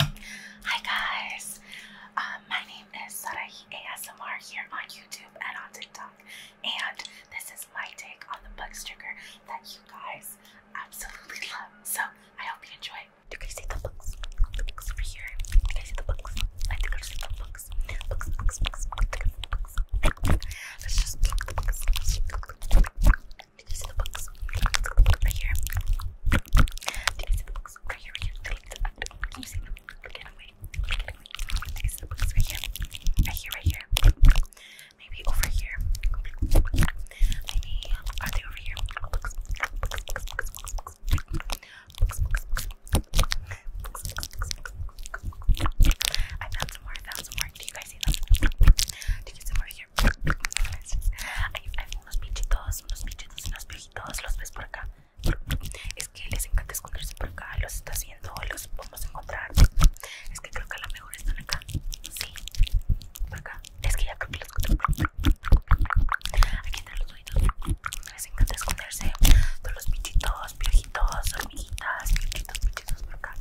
Hi guys, um, my name is Sarahi ASMR here on YouTube and on TikTok, and this is my take on the bug that you guys absolutely love. So I hope you enjoy. Do you guys see the books? books over here. Do you guys see the books? I think I the books. Books, books, books. books, books. Let's just pluck the books. Did you see the books? Right here. Did you see the books? Right here, right here. Can you see them? Look them, wait. Did you see the books? Right here. Right here, right here. Maybe over here. Maybe, are they over here? Books, books, books, books, books, books. Books, books, books. I found some more, I found some more. Do you guys see them? Do you see them over here? Hay, unos pinchitos, unos pinchitos, unos viejitos, los ves por acá. Es que les encanta esconderse por acá, los está haciendo, los vamos a encontrar. Es que creo que a lo mejor están acá. Sí, por acá. Es que ya creo que los Aquí entre los oídos. Les encanta esconderse. Todos los pinchitos, viejitos, hormiguitas, pinchitos, pinchitos por acá.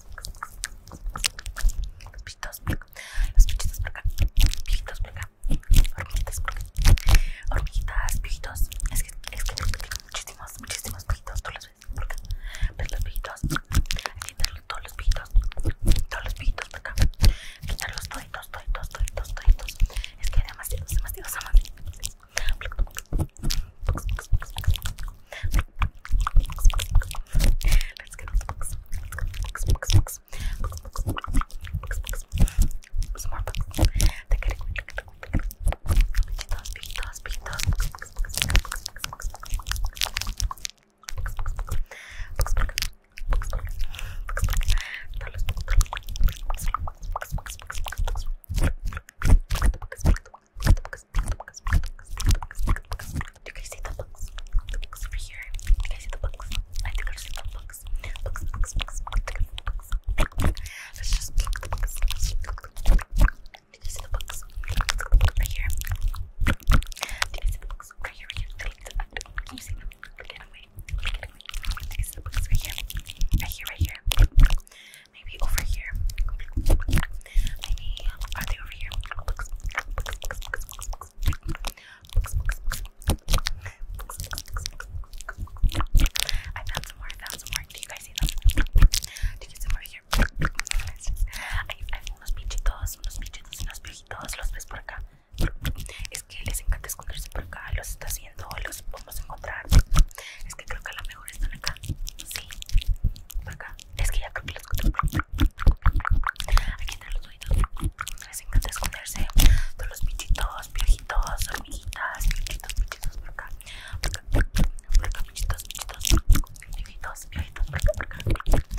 Los pichitos por acá. Los pichitos por acá. Pichitos por acá. Hormiguitas por acá. pijitos. Es que, es que muchísimos, muchísimos pijitos. Tú los ves por acá. Ves los todos los pijitos. Todos los pijitos por acá. quitarlos pichitos, los toditos, toditos, Es que demasiados, demasiados, mamita Let's get on the books. Books, books, books. Books, books, books, books. Some more books. Take it away, take it away, take it away. Pijitos, pijitos, pijitos. Books, books, books, books, books, books. Books, books, books. Books, books. Books, books. Books, books. Todos los books, todos los books. You guys see the books? The books over here. You guys see the books? I think I see the books. Books, books, books, books, books. Let's just pluck the books. Did you see the books? Right here. Did you see the books? Right here, right here. Can you see them? Right here. These right here. Right here, Maybe over here. Maybe are they over here? I found some more, found some more. Do you guys see them? Do you get some more here? Hay unos pinchitos, unos pinchitos y unos viejitos, los ves por acá. Es que les encanta esconderse por acá, los está haciendo, los vamos a encontrar. Es que creo que a lo mejor están acá. Sí, por acá. Es que ya creo que los Aquí están los oídos. Les encanta esconderse. Todos los bichitos, viejitos, hormiguitas, bichitos, bichitos por acá. Por acá, pichitos, pichitos, bichitos, bichitos. Viejitos, viejitos, por acá, por acá.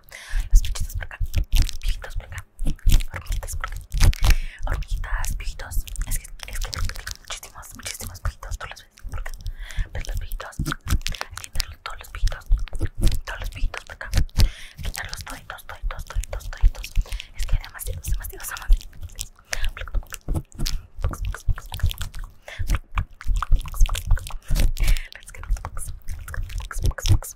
las por acá, Pijitos por acá, hormiguitas por acá, hormiguitas, Es que, es que muchísimos, muchísimos los ves por acá, los todos los pijitos, todos los pijitos acá, Es que hay demasiados, demasiados, demasiados. Let's get the Box, box, box,